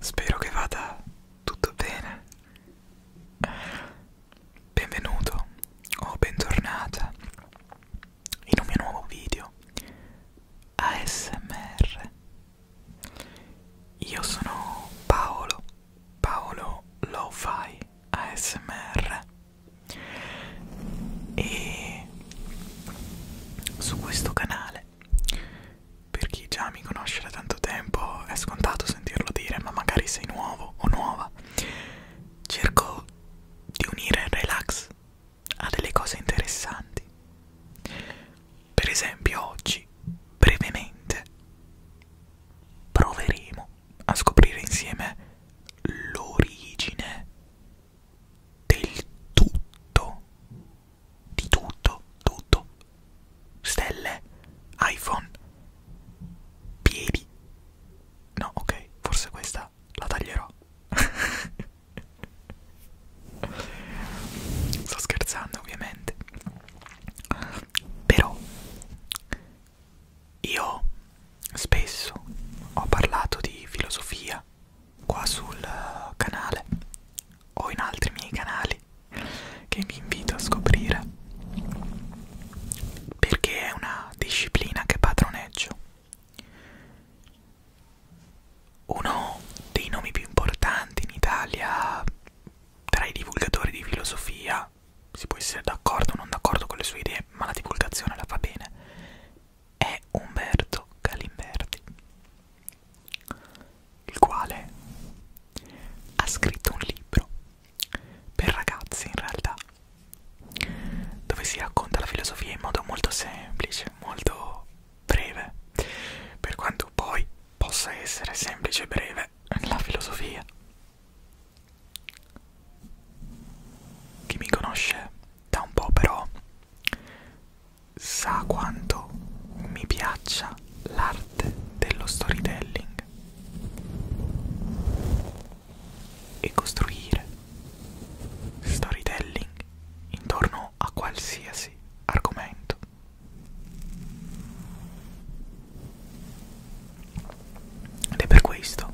Spero che vada tutto bene. Benvenuto o bentornata in un mio nuovo video ASMR. Io sono Paolo, Paolo Lo-Fi ASMR e su questo canale per chi già mi conosce da tanto tempo è scontato sentirlo dire ma magari sei nuovo o nuova cerco di unire il relax a delle cose interessanti per esempio oggi brevemente proveremo a scoprire insieme l'origine del tutto, di tutto, tutto, stelle, iPhone, piedi. No, ok, forse questa la taglierò. Sto scherzando ovviamente. Però io spesso ho parlato di filosofia qua sul eh, canale o in altri miei canali che vi invito a scoprire perché è una disciplina che padroneggio. Uno dei nomi più importanti in Italia tra i divulgatori di filosofia divulga. Si può essere d'accordo o non d'accordo con le sue idee, ma la divulgazione la fa bene. È Umberto Galimberti, il quale ha scritto un libro per ragazzi in realtà, dove si racconta la filosofia in modo molto semplice, molto breve, per quanto poi possa essere semplice e breve la filosofia chi mi conosce da un po' però sa quanto mi piaccia l'arte dello storytelling e costruire storytelling intorno a qualsiasi argomento. Ed è per questo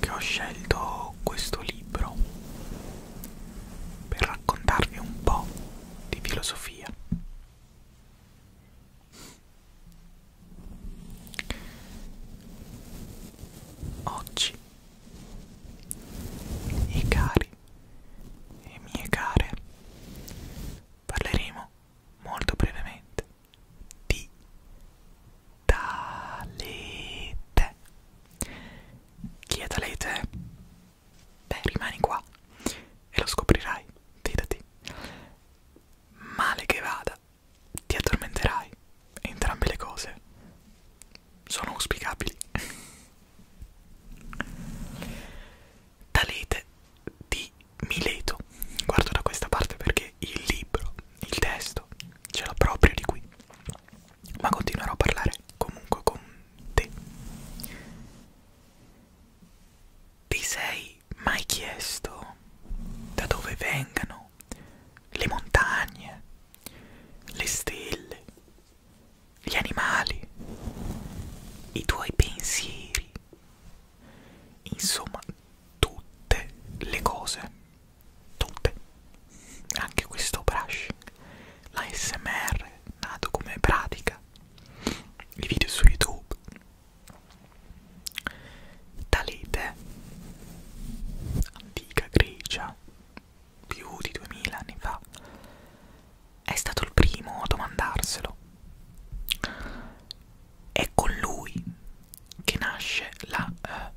che ho scelto questo libro per raccontarvi un po' di filosofia. Oggi i cari e mie care parleremo molto brevemente di Talete. Chi è Talete? Beh, rimani qua e lo scoprirai, fidati. Male che vada, ti addormenterai. Entrambe le cose sono auspicabili. Talete di Mileto. Guardo da questa parte perché il libro, il testo, ce l'ho proprio di qui. Ma continuerò a parlare comunque con te. Ti sei mai chiesto da dove vengano le montagne, le stelle, gli animali, i tuoi pensieri, insomma tutte le cose, tutte, anche questo brushing, l'ASMR nato come pratica, i video su YouTube, Talete, antica Grecia, più di 2000 anni fa è stato il primo a domandarselo. È con lui che nasce la eh,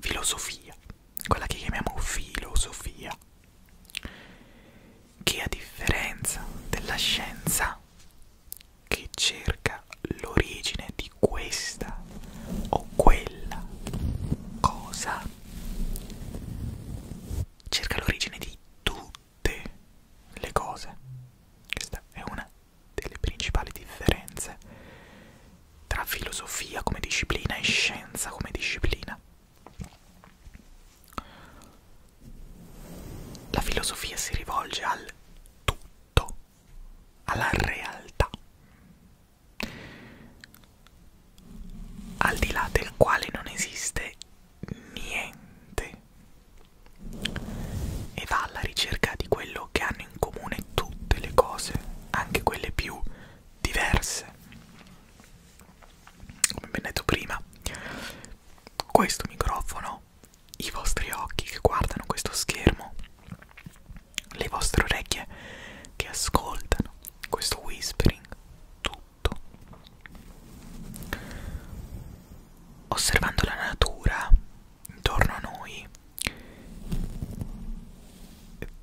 filosofia, quella che chiamiamo filosofia, che a differenza della scienza che cerca l'origine di questa o quella cosa cerca l'origine di tutte le cose. Questa è una delle principali differenze tra filosofia come disciplina e scienza come disciplina. La filosofia si rivolge al tutto, alla realtà, al di là del quale non esiste niente e va alla ricerca di quello che hanno in comune tutte le cose, anche quelle più diverse. Come ben detto prima, questo microfono, i vostri occhi che guardano questo schermo, le vostre orecchie che ascoltano questo whispering tutto osservando la natura intorno a noi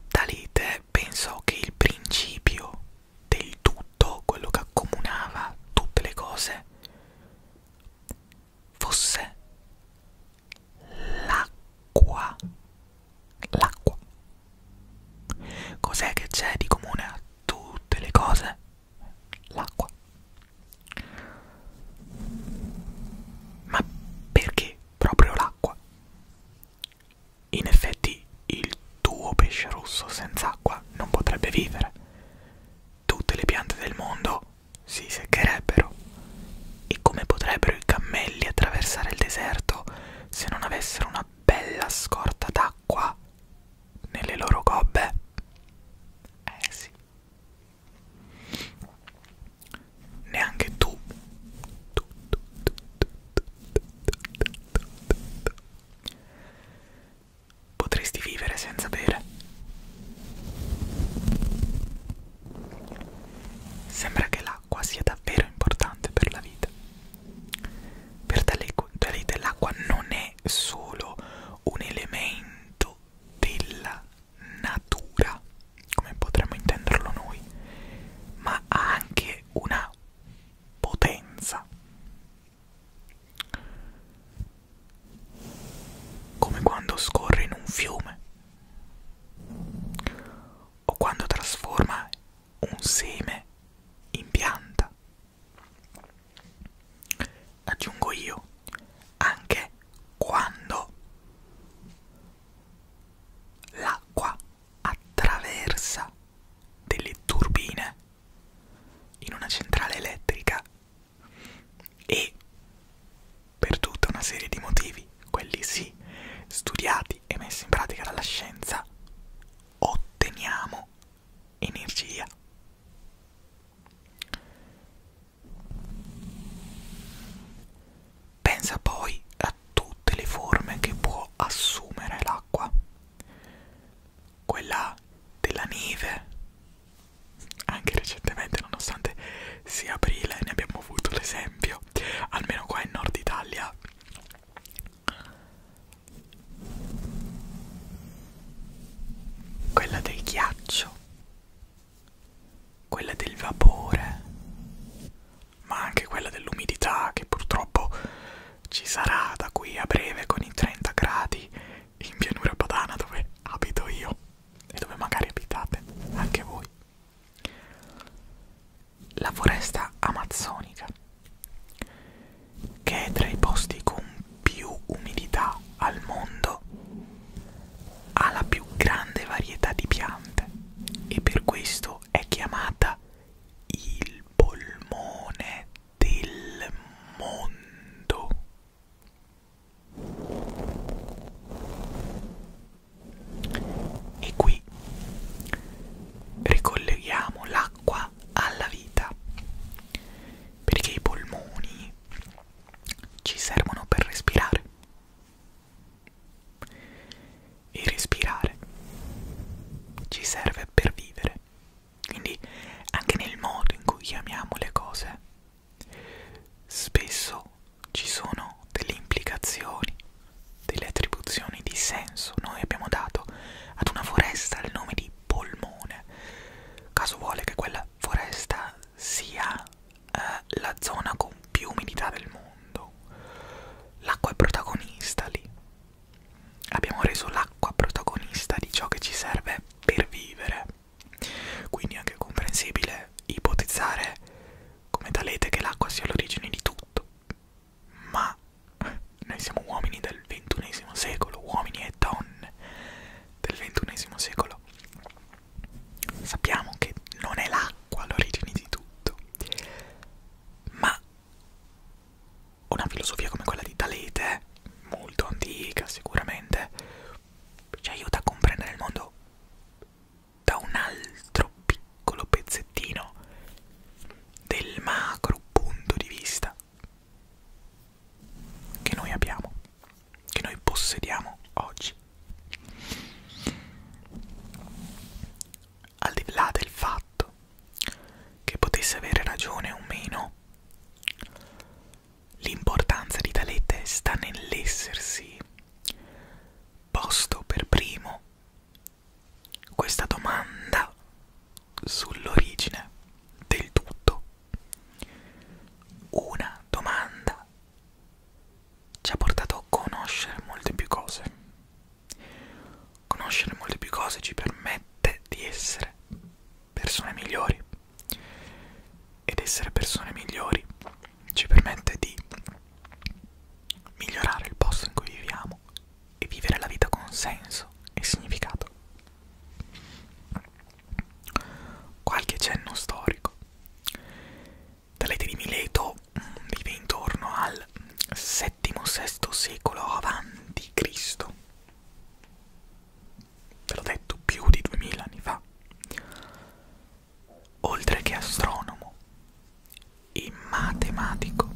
Talite pensò che il principio del tutto quello che accomunava tutte le cose fosse l'acqua l'acqua. Cos'è che c'è di comune a tutte le cose? L'acqua. Ma perché proprio l'acqua? In effetti il tuo pesce rosso senza acqua non potrebbe vivere. Tutte le piante del mondo si seccherebbero. E come potrebbero i cammelli attraversare il deserto se non avessero una bella scorta d'acqua nelle loro gobbe? Eh sì. Neanche tu. Potresti vivere senza bere. Sembra che l'acqua l'acqua sia davvero importante per la vita. Per Talite l'acqua non è solo un elemento della natura, come potremmo intenderlo noi, ma ha anche una potenza. Come quando scorre in un fiume o quando trasforma un seme in pianta. Aggiungo io anche quando l'acqua attraversa delle turbine in una centrale elettrica e per tutta una serie di motivi, quelli sì, studiati e messi in pratica dalla scienza, otteniamo energia. Pensa poi a tutte le forme che può assumere l'acqua. Quella della neve, anche recentemente, nonostante sia aprile, ne abbiamo avuto l'esempio, almeno qua in Nord Italia. Quella del ghiaccio, quella del vapore, ma anche quella dell'umidità che purtroppo ci sarà da qui a breve con i 30 gradi in pianura padana dove abito io e dove magari abitate anche voi. La foresta amazzonica, che è tra i posti con più umidità al mondo, ha la più grande varietà di piante e per questo è chiamata il polmone del mondo. E qui ricolleghiamo l'acqua alla vita, perché i polmoni ci servono per respirare. E respirare ci serve per vivere. Quindi anche nel modo in cui chiamiamo le cose Spesso ci sono delle implicazioni, delle attribuzioni di senso. Noi abbiamo dato ad una foresta il nome di polmone. Caso vuole che quella foresta sia eh, la zona con più umidità del mondo. L'acqua è protagonista lì. Abbiamo reso l'acqua protagonista di ciò che ci serve per vivere. Quindi è anche comprensibile ipotizzare come talete che l'acqua sia l'origine di tutto. Ma noi siamo uomini del XXI secolo, uomini e donne del XXI secolo. Sappiamo che non è l'acqua l'origine di tutto, ma una filosofia come quella di Talete, molto antica sicuramente, ci aiuta a comprendere il mondo da un altro piccolo pezzettino del macro punto di vista che noi abbiamo, che noi possediamo oggi. Al di là del fatto che potesse avere ragione o meno, L'importanza di tale testa nell'essersi posto per primo questa domanda sull'origine del tutto. Una domanda ci ha portato a conoscere molte più cose. Conoscere molte più cose ci permette di essere persone migliori ed essere persone migliori ci permette di migliorare il posto in cui viviamo e vivere la vita con senso e significato. Qualche cenno storico. Talete di Mileto mm, vive intorno al VII-VI secolo avanti Cristo ve l'ho detto, più di 2000 anni fa. Oltre che astronomo e matematico,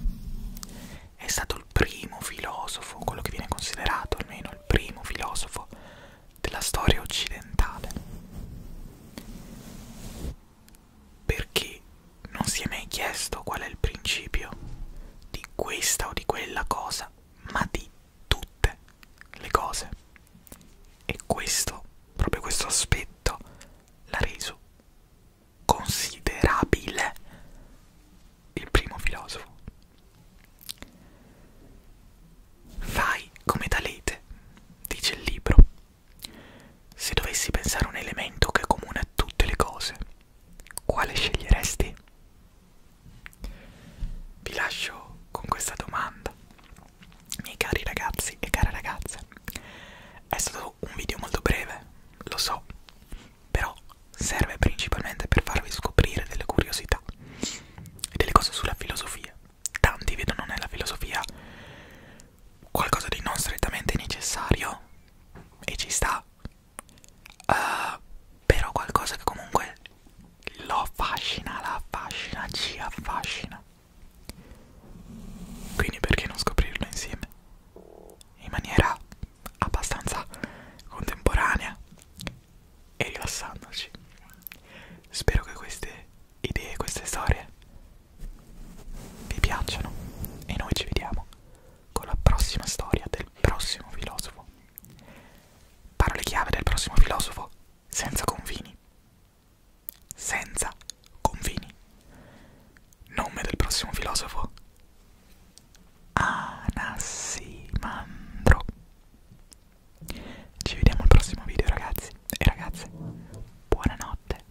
è stato il primo filosofo, quello che viene considerato almeno il primo filosofo della storia occidentale. Perché non si è mai chiesto qual è il principio di questa o di quella cosa ma di tutte le cose. E questo, proprio questo aspetto, l'ha reso considerabile il primo filosofo. Fai come Talete, dice il libro. Se dovessi pensare a un elemento che comune a tutte le cose, quale sceglieresti? Vi lascio con questa domanda, miei cari ragazzi e care ragazze. È stato un video molto breve, lo so, però serve principalmente per farvi scoprire delle curiosità e delle cose sulla filosofia. Tanti vedono nella filosofia qualcosa di non strettamente necessario e ci sta uh, però qualcosa che comunque lo affascina, la affascina, ci affascina. Quindi perché non scoprirlo insieme? In maniera abbastanza contemporanea e rilassandoci. Spero che queste idee, queste storie vi piacciono e noi ci vediamo con la prossima storia del prossimo filosofo. Parole chiave del prossimo filosofo, senza confini. Senza confini. Nome del prossimo filosofo, Anassimandro. Ci vediamo al prossimo video ragazzi e ragazze. Buonanotte.